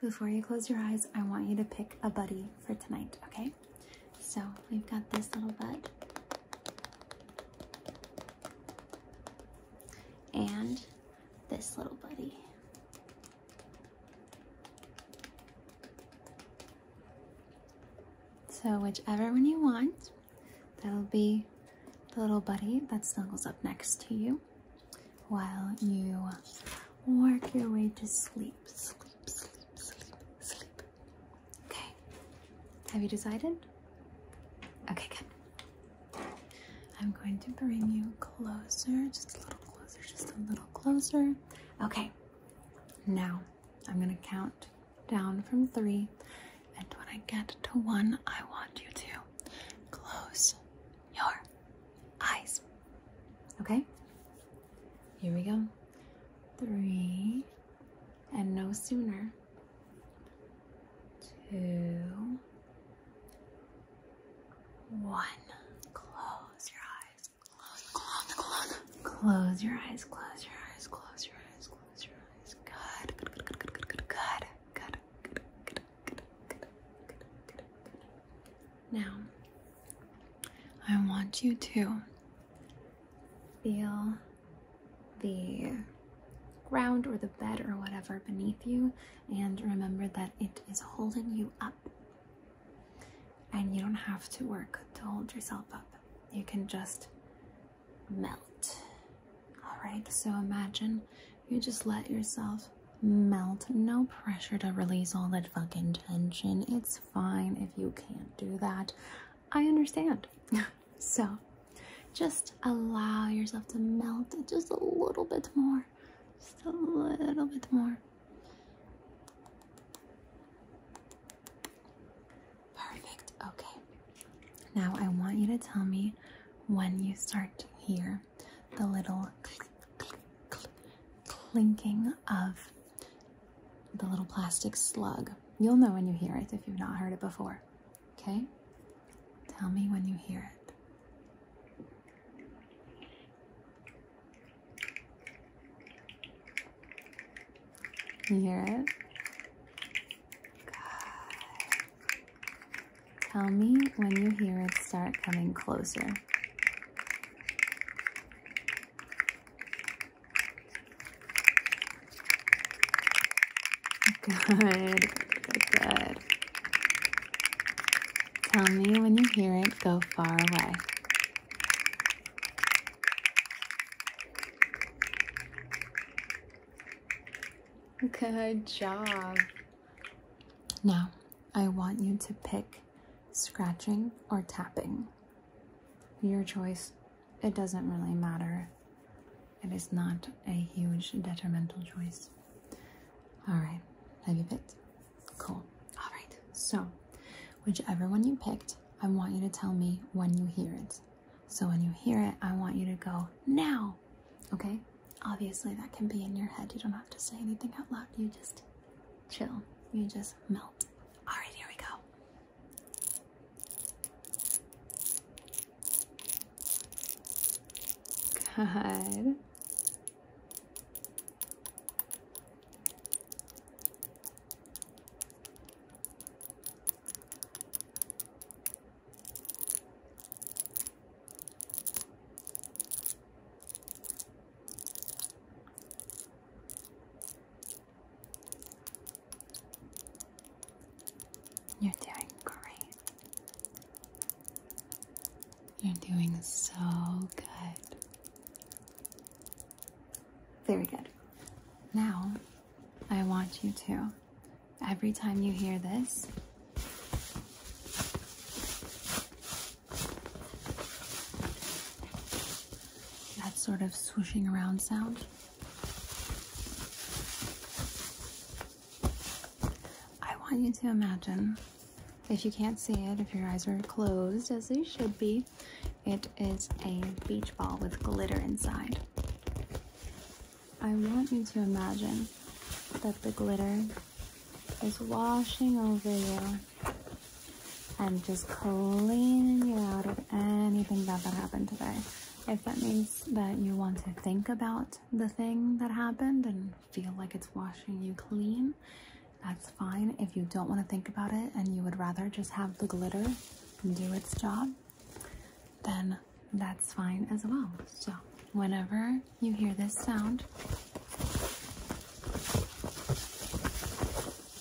Before you close your eyes, I want you to pick a buddy for tonight, okay? So we've got this little bud. And this little buddy. So, whichever one you want, that'll be the little buddy that snuggles up next to you while you work your way to sleep. sleep. Okay. Have you decided? Okay, good. I'm going to bring you closer, just a little closer, just a little closer. Okay. Now, I'm going to count down from three. And when I get to one, I want you to close your eyes. Okay? Here we go. Three, and no sooner. Two, one. Close your eyes. Close, close, close. Close your eyes. Close your eyes. Close your eyes. Close your eyes. Good. Good. Good. Good. Good. Good. Good. Good. Now, I want you to feel the ground or the bed or whatever beneath you, and remember that it is holding you up. And you don't have to work to hold yourself up, you can just melt. All right, so imagine you just let yourself melt. No pressure to release all that fucking tension. It's fine if you can't do that. I understand. so just allow yourself to melt just a little bit more. Just a little bit more. Perfect. Okay. Now I want you to tell me when you start here the little clinking of the little plastic slug. You'll know when you hear it if you've not heard it before. Okay? Tell me when you hear it. hear it? Tell me when you hear it start coming closer. Good, good, Tell me when you hear it go far away. Good job. Now, I want you to pick scratching or tapping. Your choice, it doesn't really matter. It is not a huge detrimental choice. All right, have you picked? Cool. All right, so whichever one you picked, I want you to tell me when you hear it. So when you hear it, I want you to go now, okay? obviously that can be in your head. You don't have to say anything out loud. You just chill. You just melt. All right, here we go. Good. You're doing great. You're doing so good. Very good. Now, I want you to every time you hear this. That sort of swooshing around sound. I want you to imagine, if you can't see it, if your eyes are closed, as they should be, it is a beach ball with glitter inside. I want you to imagine that the glitter is washing over you and just cleaning you out of anything that happened today. If that means that you want to think about the thing that happened and feel like it's washing you clean, that's fine. If you don't want to think about it and you would rather just have the glitter do its job, then that's fine as well. So, whenever you hear this sound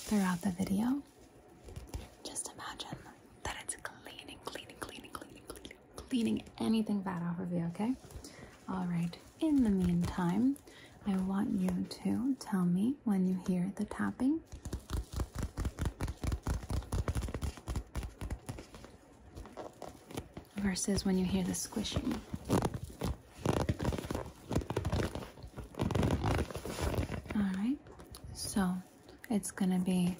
throughout the video, just imagine that it's cleaning, cleaning, cleaning, cleaning, cleaning, cleaning anything bad off of you, okay? All right, in the meantime, I want you to tell me when you hear the tapping versus when you hear the squishing. Alright, so it's gonna be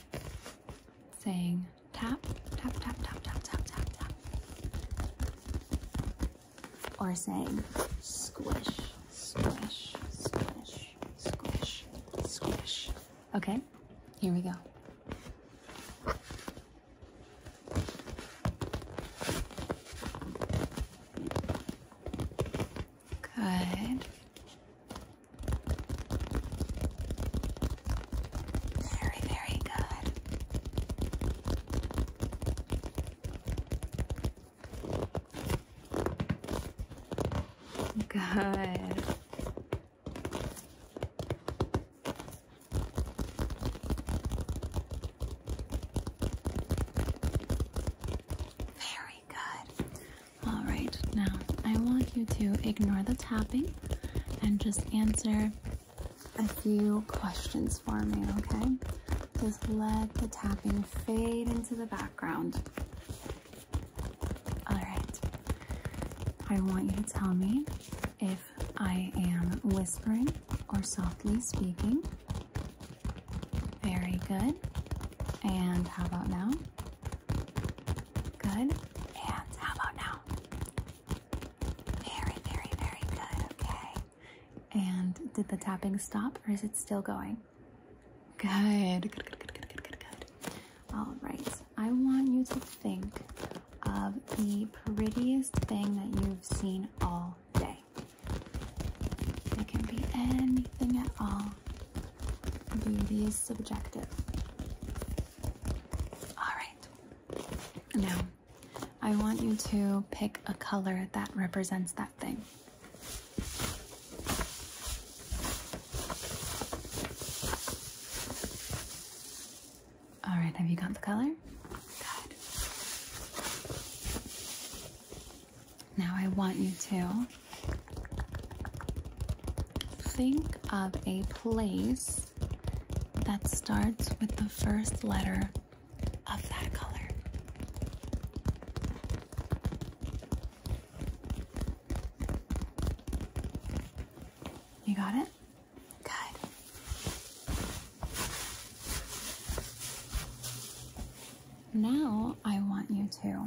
saying tap, tap, tap, tap, tap, tap, tap, tap. Or saying squish, squish, squish, squish, squish. Okay, here we go. Good. Very, very good. Good. Very good. All right, now I want you to ignore the tapping and just answer a few questions for me, okay? Just let the tapping fade into the background. All right. I want you to tell me if I am whispering or softly speaking. Very good. And how about now? Good. And how about now? Very, very, very good. Okay. And did the tapping stop or is it still going? Good. Good, good, good, good, good, good, good. All right, I want you to think of the prettiest thing that you've seen all day. It can be anything at all. Beauty is subjective. All right, now I want you to pick a color that represents that thing. All right, have you got the color? Now I want you to think of a place that starts with the first letter of that color. You got it? Good. Now I want you to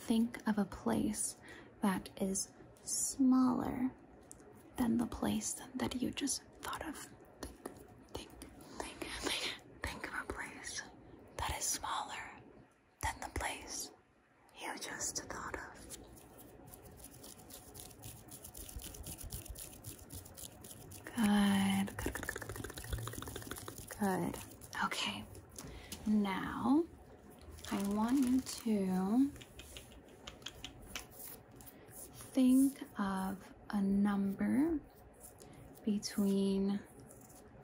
think of a place that is smaller than the place that you just thought of. Think, think, think, think of a place that is smaller than the place you just thought of. Good. Good, good, Okay. Now, I want you to think of a number between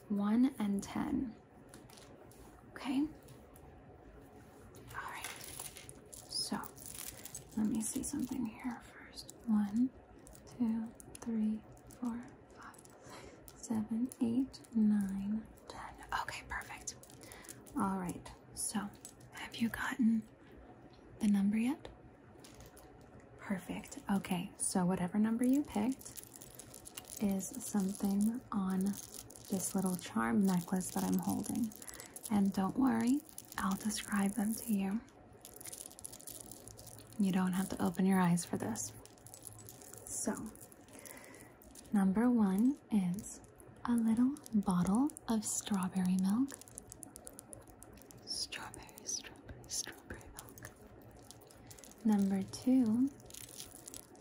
1 and 10. Okay. All right. So let me see something here first. One, two, three, four, five, six, seven, eight, nine, ten. Okay, perfect. All right. So have you gotten the number yet? Perfect. Okay, so whatever number you picked, is something on this little charm necklace that I'm holding. And don't worry, I'll describe them to you. You don't have to open your eyes for this. So, number one is a little bottle of strawberry milk. Strawberry, strawberry, strawberry milk. Number two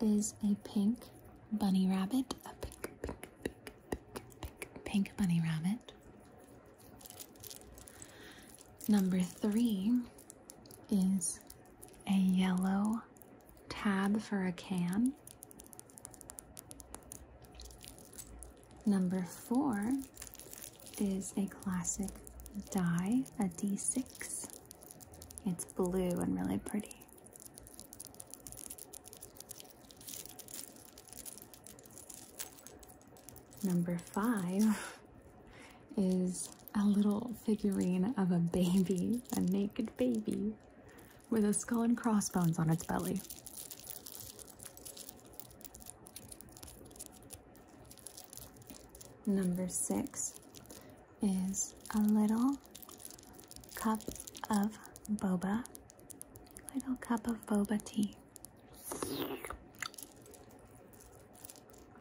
is a pink bunny rabbit. A pink, pink, pink, pink, bunny rabbit. Number three is a yellow tab for a can. Number four is a classic die, a D6. It's blue and really pretty. Number five is a little figurine of a baby, a naked baby, with a skull and crossbones on its belly. Number six is a little cup of boba, little cup of boba tea.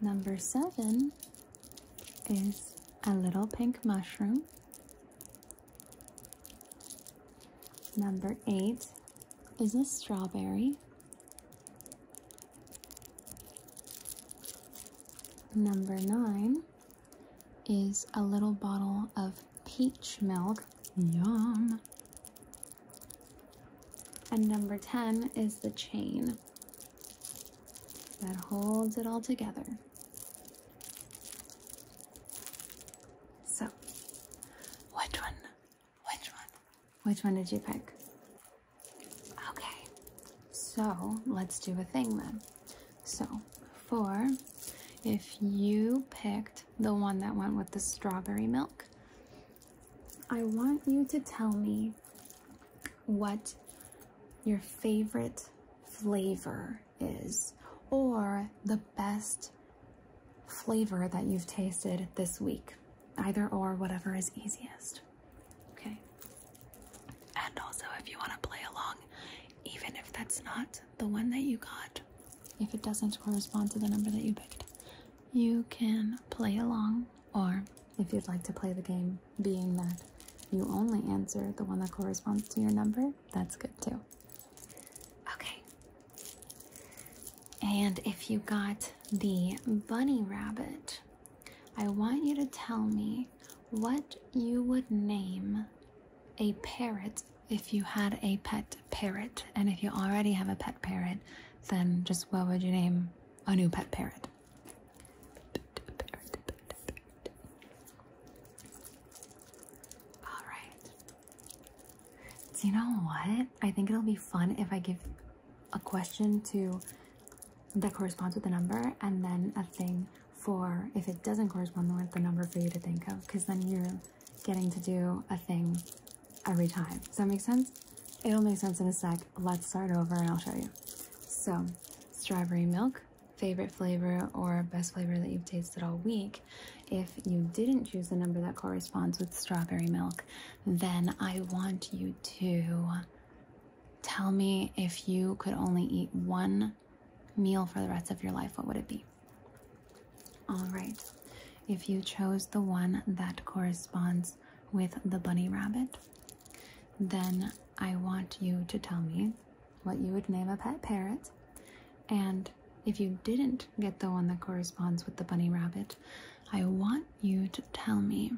Number seven is a little pink mushroom. Number eight is a strawberry. Number nine is a little bottle of peach milk. Yum. And number 10 is the chain that holds it all together. So, which one which one? Which one did you pick? Okay, so let's do a thing then. So, for if you picked the one that went with the strawberry milk, I want you to tell me what your favorite flavor is or the best flavor that you've tasted this week. Either or, whatever is easiest. Okay. And also, if you want to play along, even if that's not the one that you got, if it doesn't correspond to the number that you picked, you can play along. Or if you'd like to play the game, being that you only answer the one that corresponds to your number, that's good too. Okay. And if you got the bunny rabbit, I want you to tell me what you would name a parrot if you had a pet parrot. And if you already have a pet parrot, then just what would you name a new pet parrot? All right. Do you know what? I think it'll be fun if I give a question to that corresponds with the number and then a thing for if it doesn't correspond with the number for you to think of because then you're getting to do a thing every time. Does that make sense? It'll make sense in a sec. Let's start over and I'll show you. So strawberry milk, favorite flavor or best flavor that you've tasted all week. If you didn't choose the number that corresponds with strawberry milk, then I want you to tell me if you could only eat one meal for the rest of your life, what would it be? All right. If you chose the one that corresponds with the bunny rabbit, then I want you to tell me what you would name a pet parrot. And if you didn't get the one that corresponds with the bunny rabbit, I want you to tell me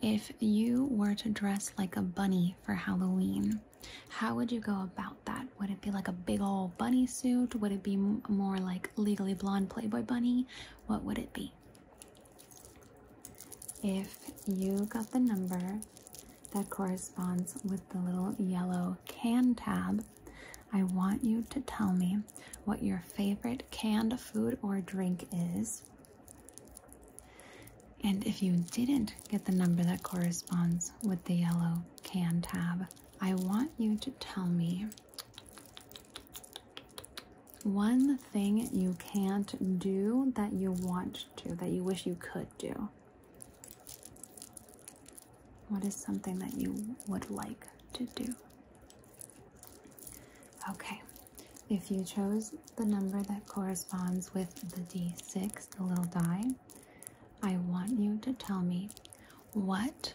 if you were to dress like a bunny for Halloween, how would you go about that? Would it be like a big old bunny suit? Would it be more like legally blonde Playboy bunny? What would it be? If you got the number that corresponds with the little yellow can tab, I want you to tell me what your favorite canned food or drink is. And if you didn't get the number that corresponds with the yellow can tab, I want you to tell me one thing you can't do that you want to, that you wish you could do. What is something that you would like to do? Okay, if you chose the number that corresponds with the D6, the little die, I want you to tell me what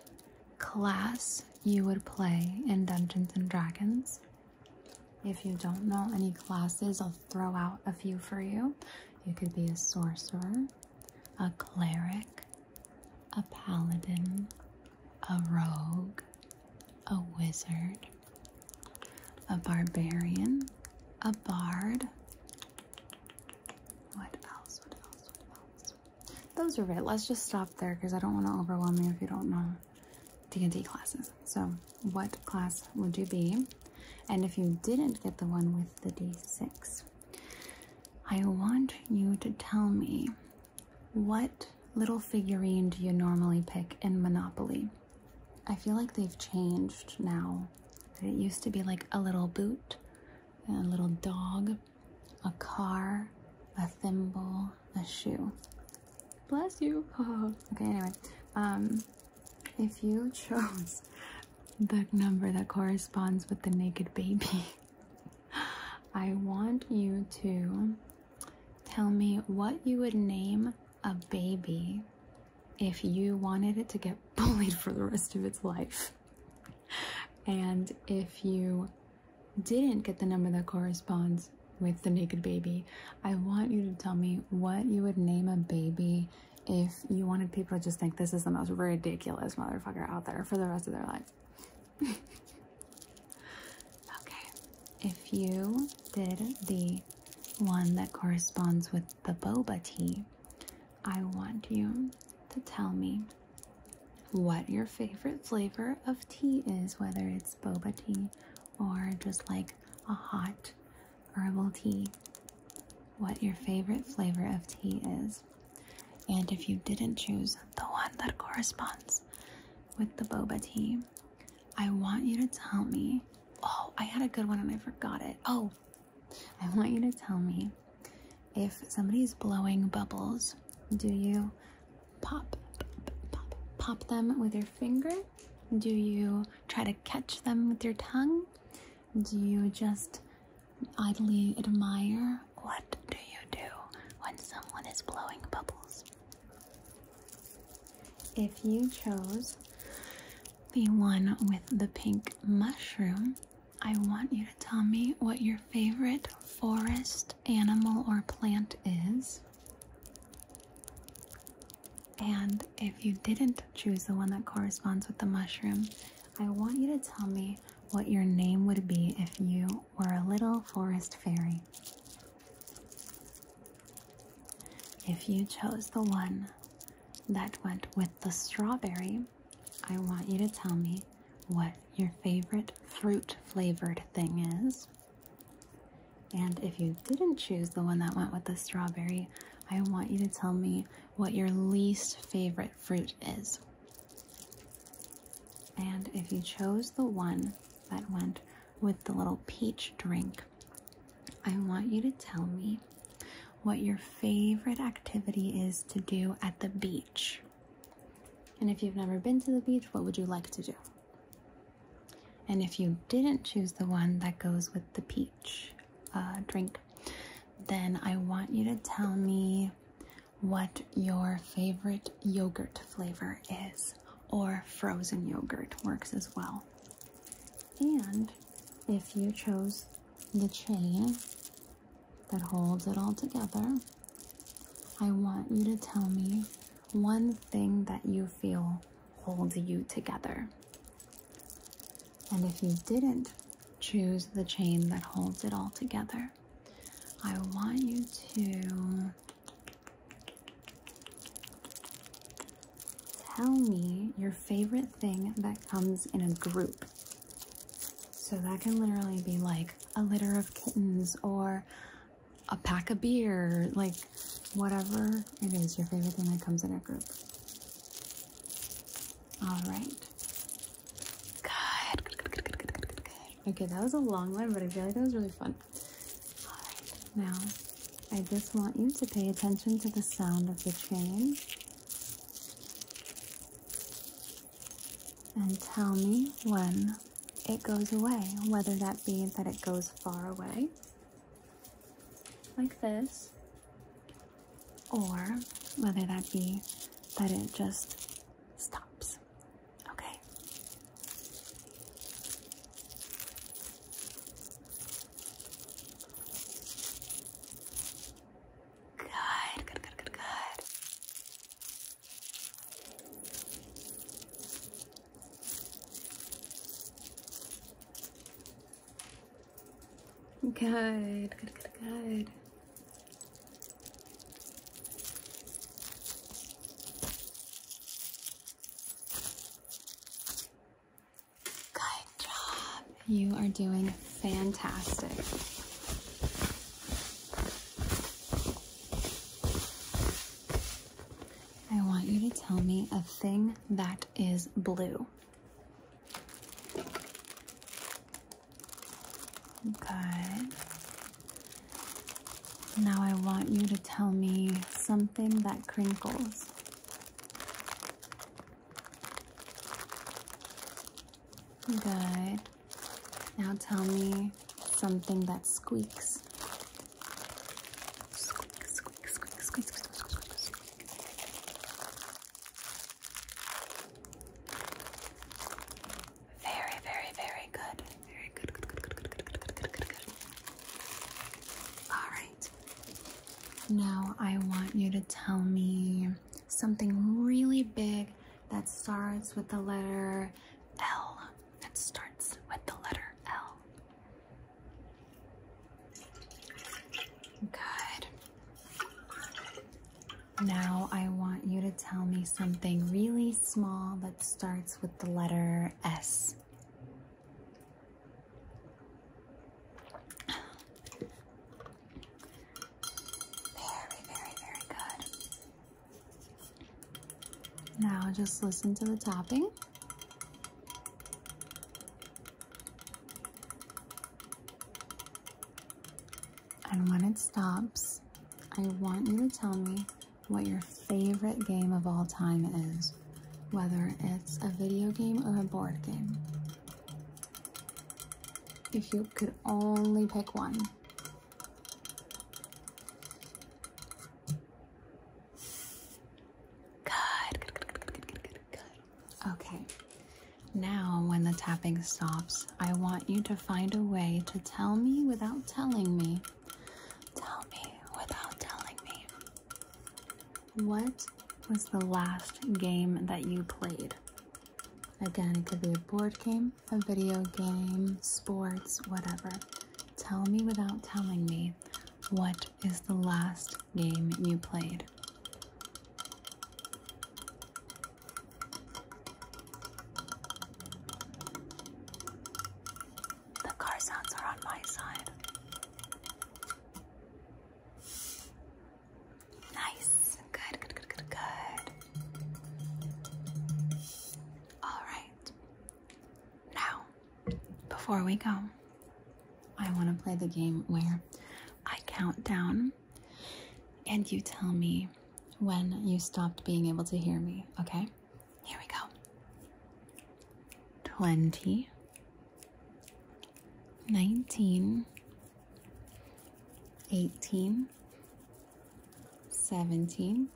class you would play in Dungeons and Dragons. If you don't know any classes, I'll throw out a few for you. You could be a sorcerer, a cleric, a paladin, a rogue, a wizard, a barbarian, a bard. What else? What else? What else? Those are it. Let's just stop there because I don't want to overwhelm you if you don't know D&D classes. So what class would you be? And if you didn't get the one with the D6, I want you to tell me what little figurine do you normally pick in Monopoly? I feel like they've changed now. It used to be like a little boot, a little dog, a car, a thimble, a shoe. Bless you. okay, anyway. Um, if you chose the number that corresponds with the naked baby, I want you to tell me what you would name a baby if you wanted it to get bullied for the rest of its life. And if you didn't get the number that corresponds with the naked baby, I want you to tell me what you would name a baby if you wanted people to just think this is the most ridiculous motherfucker out there for the rest of their life okay, if you did the one that corresponds with the boba tea, I want you to tell me what your favorite flavor of tea is, whether it's boba tea or just like a hot herbal tea. What your favorite flavor of tea is. And if you didn't choose the one that corresponds with the boba tea, I want you to tell me. Oh, I had a good one and I forgot it. Oh, I want you to tell me if somebody's blowing bubbles, do you pop, pop, pop them with your finger? Do you try to catch them with your tongue? Do you just idly admire? What do you do when someone is blowing bubbles? If you chose the one with the pink mushroom, I want you to tell me what your favorite forest animal or plant is. And if you didn't choose the one that corresponds with the mushroom, I want you to tell me what your name would be if you were a little forest fairy. If you chose the one that went with the strawberry, I want you to tell me what your favorite fruit flavored thing is. And if you didn't choose the one that went with the strawberry, I want you to tell me what your least favorite fruit is. And if you chose the one that went with the little peach drink, I want you to tell me what your favorite activity is to do at the beach. And if you've never been to the beach, what would you like to do? And if you didn't choose the one that goes with the peach uh, drink, then I want you to tell me what your favorite yogurt flavor is, or frozen yogurt works as well. And if you chose the chain that holds it all together, I want you to tell me one thing that you feel holds you together. And if you didn't choose the chain that holds it all together. I want you to tell me your favorite thing that comes in a group. So that can literally be like a litter of kittens or a pack of beer, like whatever it is, your favorite thing that comes in a group. All right. Good. Okay, that was a long one, but I feel like that was really fun. now I just want you to pay attention to the sound of the train and tell me when it goes away, whether that be that it goes far away, like this, or whether that be that it just stops. Okay. Good, good, good, good, good. Good, good, good, good. Good job. You are doing fantastic. I want you to tell me a thing that is blue. Good. Now I want you to tell me something that crinkles. Good. Now tell me something that squeaks. Very, very, very good. Very good, All right. Now I want you to tell me something really big that starts with the letter L. That starts with the letter L. Good. Now I want you to tell me something really small that starts with the letter S. Very, very, very good. Now just listen to the tapping. And when it stops, I want you to tell me what your favorite game of all time is, whether it's a video game or a board game. If you could only pick one. Good, Okay, now when the tapping stops, I want you to find a way to tell me without telling me. Tell me without telling me. What was the last game that you played? Again, it could be a board game, a video game, sports, whatever. Tell me without telling me what is the last game you played. The car sounds are on my side. Nice. Good, good, good, good, good. All right. Now, before we go, I want to play the game where I count down and you tell me when you stopped being able to hear me, okay? Here we go. 20 19 18 17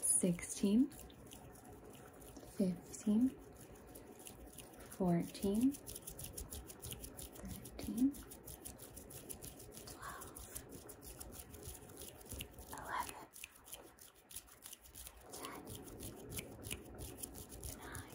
16 15, 14, 13, 12, 11, 10, 9, 8, 7, 6, 5,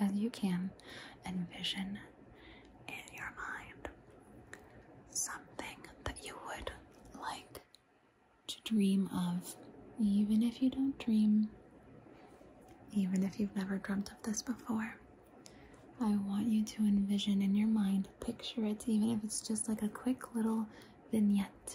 as you can envision in your mind something that you would like to dream of, even if you don't dream, even if you've never dreamt of this before. I want you to envision in your mind, picture it, even if it's just like a quick little vignette,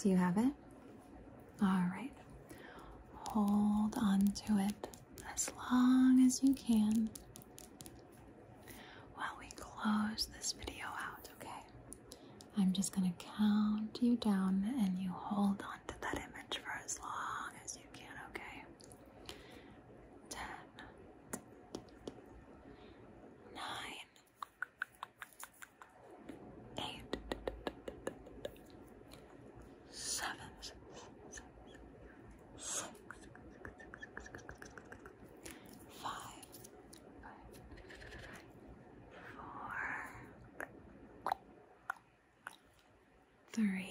do you have it? All right. Hold on to it as long as you can while we close this video out, okay? I'm just going to count you down and you hold on to that image for as long as you can, okay? 10 nine, eight, seven, six, six, five, four, three,